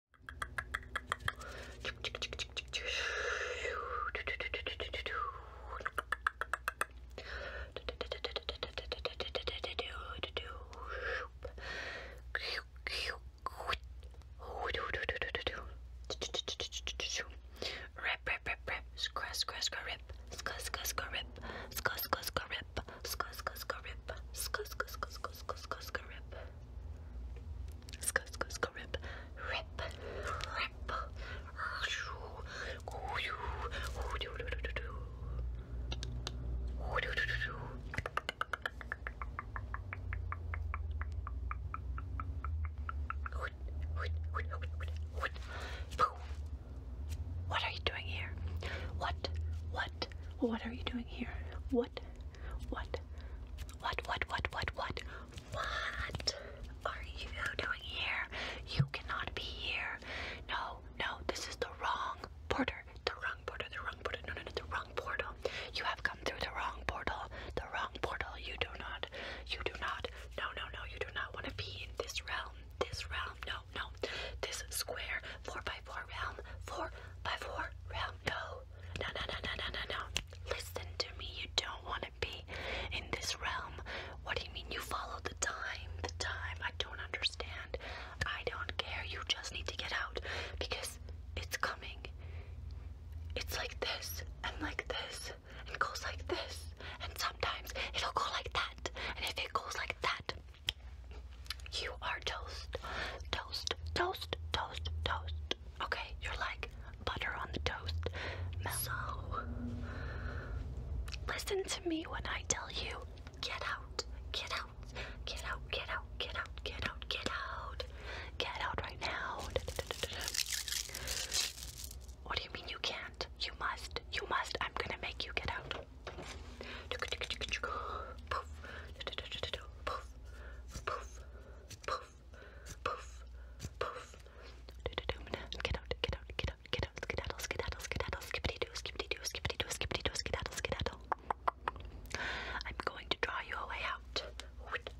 Rip, rip, rip, rip, scratch, scratch, scratch, rip, scratch, scratch, scratch, rip, scratch, scratch, scratch, rip, scratch, scratch, scratch, rip, scratch, scratch, scratch, scratch, scratch, rip. Sk sk sk rip rip rip What are you doing here? What? What? What are you doing here? What? What? What, what, what, what, what? What are you doing here? You cannot be here. No, no, this is the wrong porter. The wrong portal, the wrong portal, no, no, no, the wrong portal. You have come through the wrong portal, the wrong portal. You do not, you do not, no, no, no, you do not want to be in this realm, this realm, no, no. This square, 4 by four realm, four realm. no, no, no, no, no, no, no. Listen to me. You don't want to be in this realm. What do you mean? You follow the time, the time. I don't understand. I don't care. You just need to get out because it's coming. It's like this and like this and goes like this and sometimes it'll go like that and if it goes like that you are toast, toast, toast, toast, toast. Okay, you're like butter on the toast. Mel so, listen to me when I tell you get out, get out, get out, get out, get out, get out, get out, get out right now. Da, da, da, da, da. What do you mean you can't? You must, you must. I'm gonna make you get out. I'm going to draw you away out. Wit,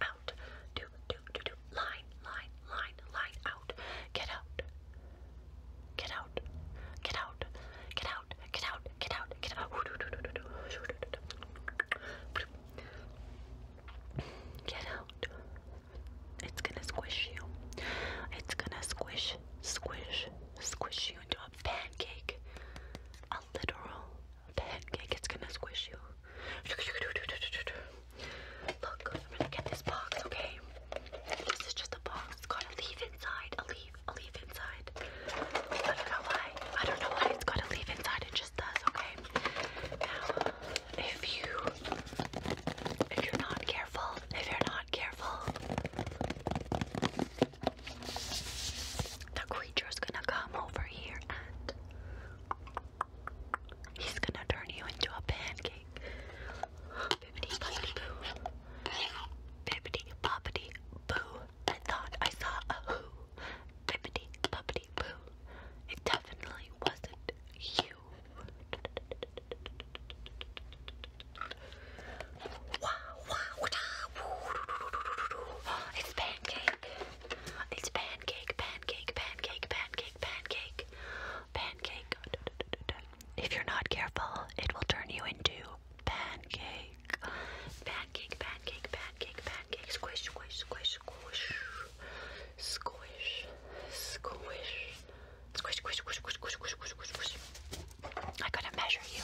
out. out. Line, line, line, line, out. Get out. Get out. Get out. Get out. Get out. Get out. Get out. Get out. It's gonna squish you. It's gonna squish, squish, squish you into a pancake. A literal pancake. It's gonna squish you. Look, I'm gonna get this box, okay? This is just a box. It's got a leaf inside. A leaf, a leaf inside. I don't know why. I don't know why it's got a leaf inside. It just does, okay? Now, if you if you're not careful, if you're not careful, the creature's gonna come over here and He's gonna turn you into a pancake. Bibbity boppity boo. Bibbity boppity boo. I thought I saw a who. Bibbity boppity boo. It definitely wasn't you. it's pancake. It's pancake, pancake, pancake, pancake, pancake, pancake. If you're not careful, it will turn you into pancake. Pancake, pancake, pancake, pancake. Squish, squish, squish, squish. Squish, squish. Squish, squish, squish, squish, squish, squish, squish, squish. I gotta measure you.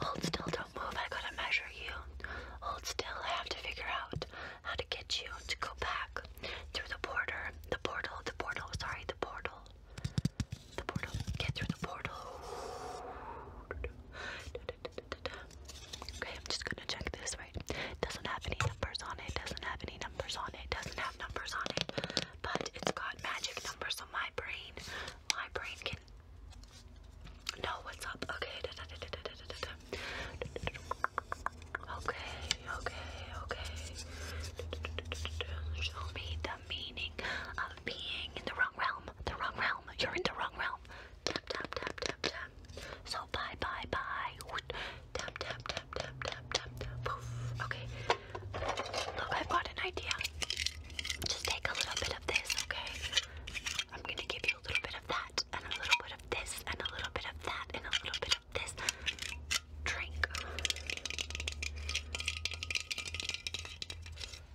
Hold still, don't move. I gotta measure you. Hold still. I have to figure out how to get you to go back through the border, the portal, the portal, sorry, the portal, the portal, get through the portal. Okay, I'm just gonna check this, right? Doesn't have any numbers on it, doesn't have any numbers on it, doesn't have numbers on it, but it's got magic numbers, so my brain, my brain can know what's up. Okay, Okay, okay, okay. Show me the meaning of being in the wrong realm. The wrong realm. You're in the wrong realm. Tap, tap, tap, tap, tap. So bye, bye, bye. Tap, tap, tap, tap, tap, tap, Poof. Okay. Look, I've got an idea. Just take a little bit of this, okay? I'm gonna give need a little bit of that, and a little bit of this, and a little bit of that, and a little bit of this. Drink.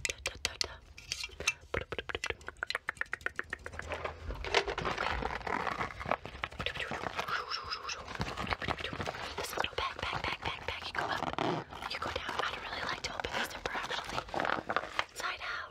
Da, da, da, da. Okay. This little bag, bag, bag, bag, bag. You go up, you go down. I don't really like to open this up, actually. Side out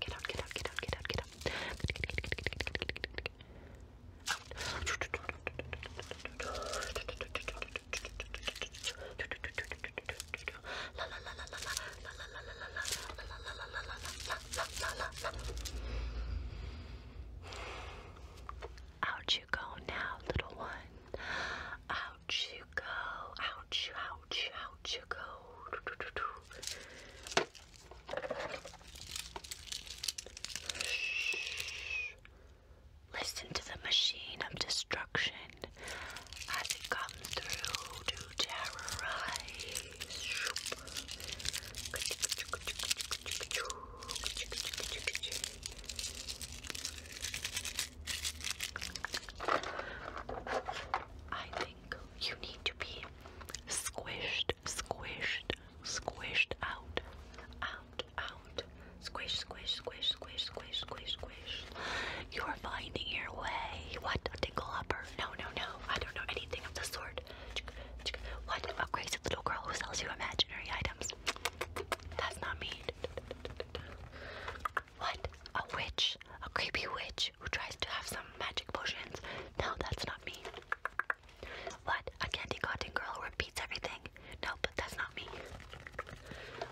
Get out, get out, get out, get out, get out. Out you go now, little one. Out you go. Out you, out ouch, Listen to the machine of destruction as it comes through to terrorize. I think you need to be squished, squished, squished out, out, out. Squish, squish, squish, squish, squish, squish, squish. You're finding your way. What? A tingle upper? No, no, no. I don't know anything of the sort. What? A crazy little girl who sells you imaginary items. That's not me. What? A witch? A creepy witch who tries to have some magic potions? No, that's not me. What? A candy cotton girl who repeats everything? No, but that's not me.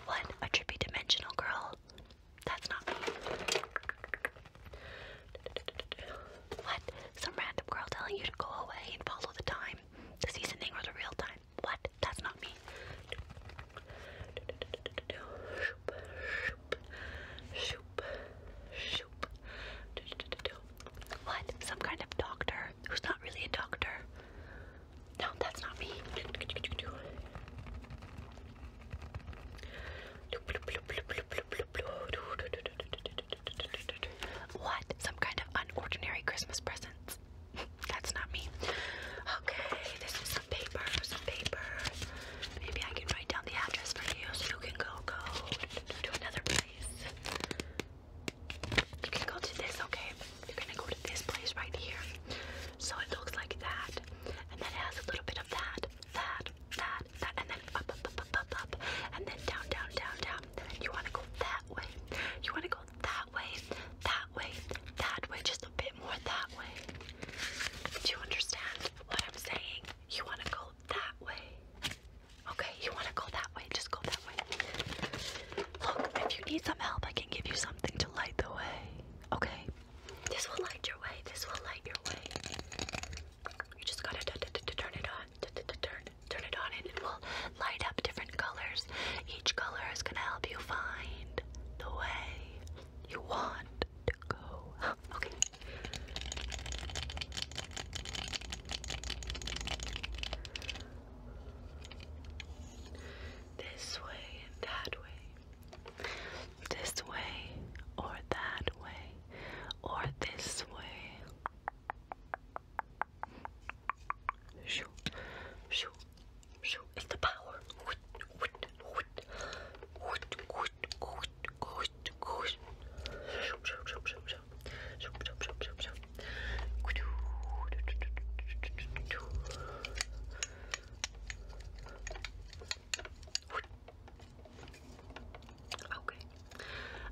What? A trippy dimensional girl? That's not me. What? Some random girl telling you to go away and follow the time, the seasoning, or the real time? What? That's not me. What? Some kind of doctor who's not really a doctor. No, that's not me. What? Some kind of unordinary Christmas presents. That's not me. Okay, this is some paper, some paper. Maybe I can write down the address for you so you can go go to another place. You can go to this, okay? You're gonna go to this place right here. So it looks like that. And then it has a little bit of that, that, that, that, and then up, up, up, up, up, up, and then down, down, down, down. then you wanna go that way. You wanna go that way, that way, that way, just a bit more that way. Do you understand what I'm saying? You want to go that way. Okay, you want to go that way, just go that way. Look, if you need some help, I can give you something to light the way. Okay? This will light your way, this will light your way. You just gotta turn it on. Turn, turn it on and it will light up different colors. Each color is going to help you find the way you want to go. okay. This way and that way. This way or that way or this way. Shoo, shoo, shoo. It's the power. Okay.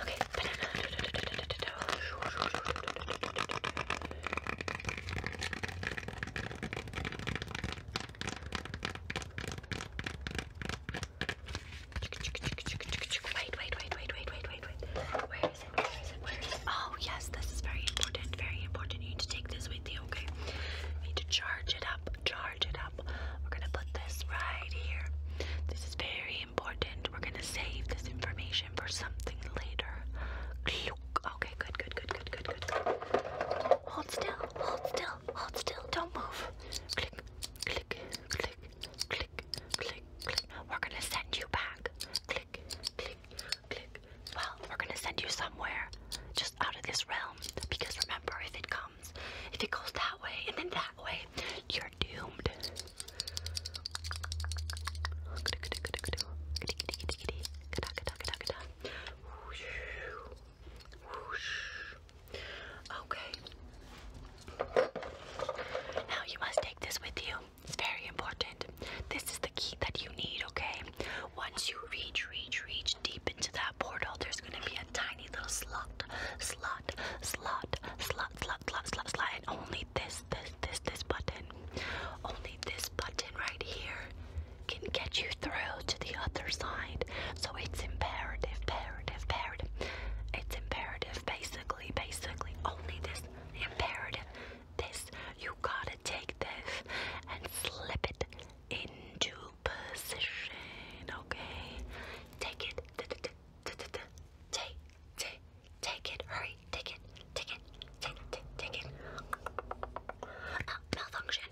Okay, Wait, wait, wait, wait, wait, wait, wait, Where is it? Where is it? Oh, yes, this is very important. Very important. You need to take this with you, okay? You need to charge it up. Charge it up. We're gonna put this right here. This is very important. We're gonna save this information for something later. Okay, good, good, good, good, good, good. Hold still, hold still, hold still. Don't move. Click, click, click, click, click, click. We're gonna send you back. Click, click, click. Well, we're gonna send you somewhere just out of this realm because remember, if it comes, if it goes that way and then that way, you're doomed. Okay. Now you must take this with you. It's very important. This is the key that you need, okay? Once you reach, reach, reach deep into that portal, there's gonna be a tiny little slot, slot, slot, slot, slot, slot, slot, slot, and only this, this, this, this button, only this button right here can get you through to the other side. So it's imperative, imperative, imperative. It's imperative, basically, basically, only this imperative. This, you gotta take this and slip it into position, okay? Take it, Take, it. Hurry, take it, take it, take, it, take it. Uh, malfunction.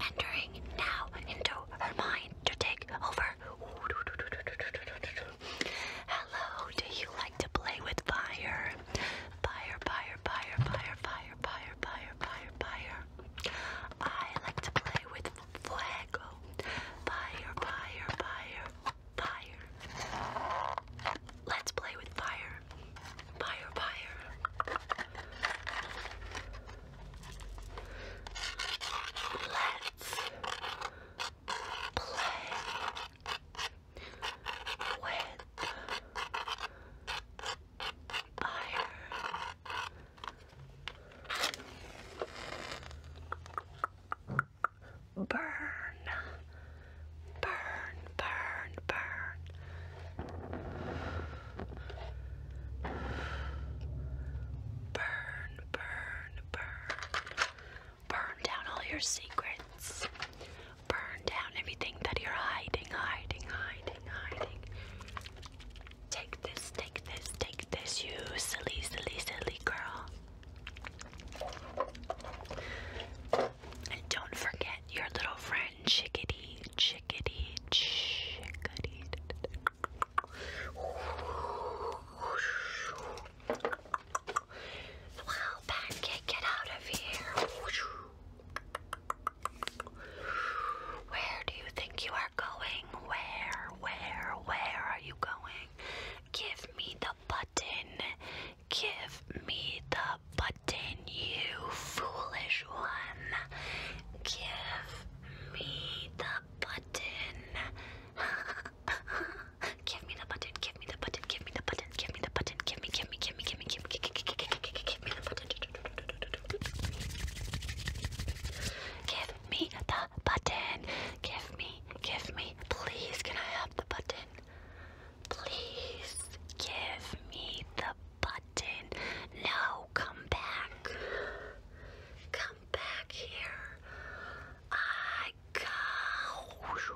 Entering now into her mind to take over. Hello, do you like to play with fire? Fire, fire, fire, fire, fire, fire, fire, fire, fire. I like to play with Fire, fire, fire, fire. Let's play with fire. Fire, fire. Let's play with iron. Burn, burn, burn, burn. Burn, burn, burn. Burn down all your secrets burn down everything that you're hiding, hiding, hiding, hiding. Take this, take this, take this, you silly, silly, silly girl. And don't forget your little friend, chickadee, chickadee, chickadee. Wow, pancake, get out of here. Where do you think you are going? Where, where, where are you going? Give me the button. Give me the button, you foolish one. Give me the button. give me the button give me the button, give me the button, give me the button, give me, give me, give me, give me, give me, give me, give me, give me the button. Give me the button. Give me, give me, please. Can I have the button? Please give me the button. No, come back. Come back here. I go.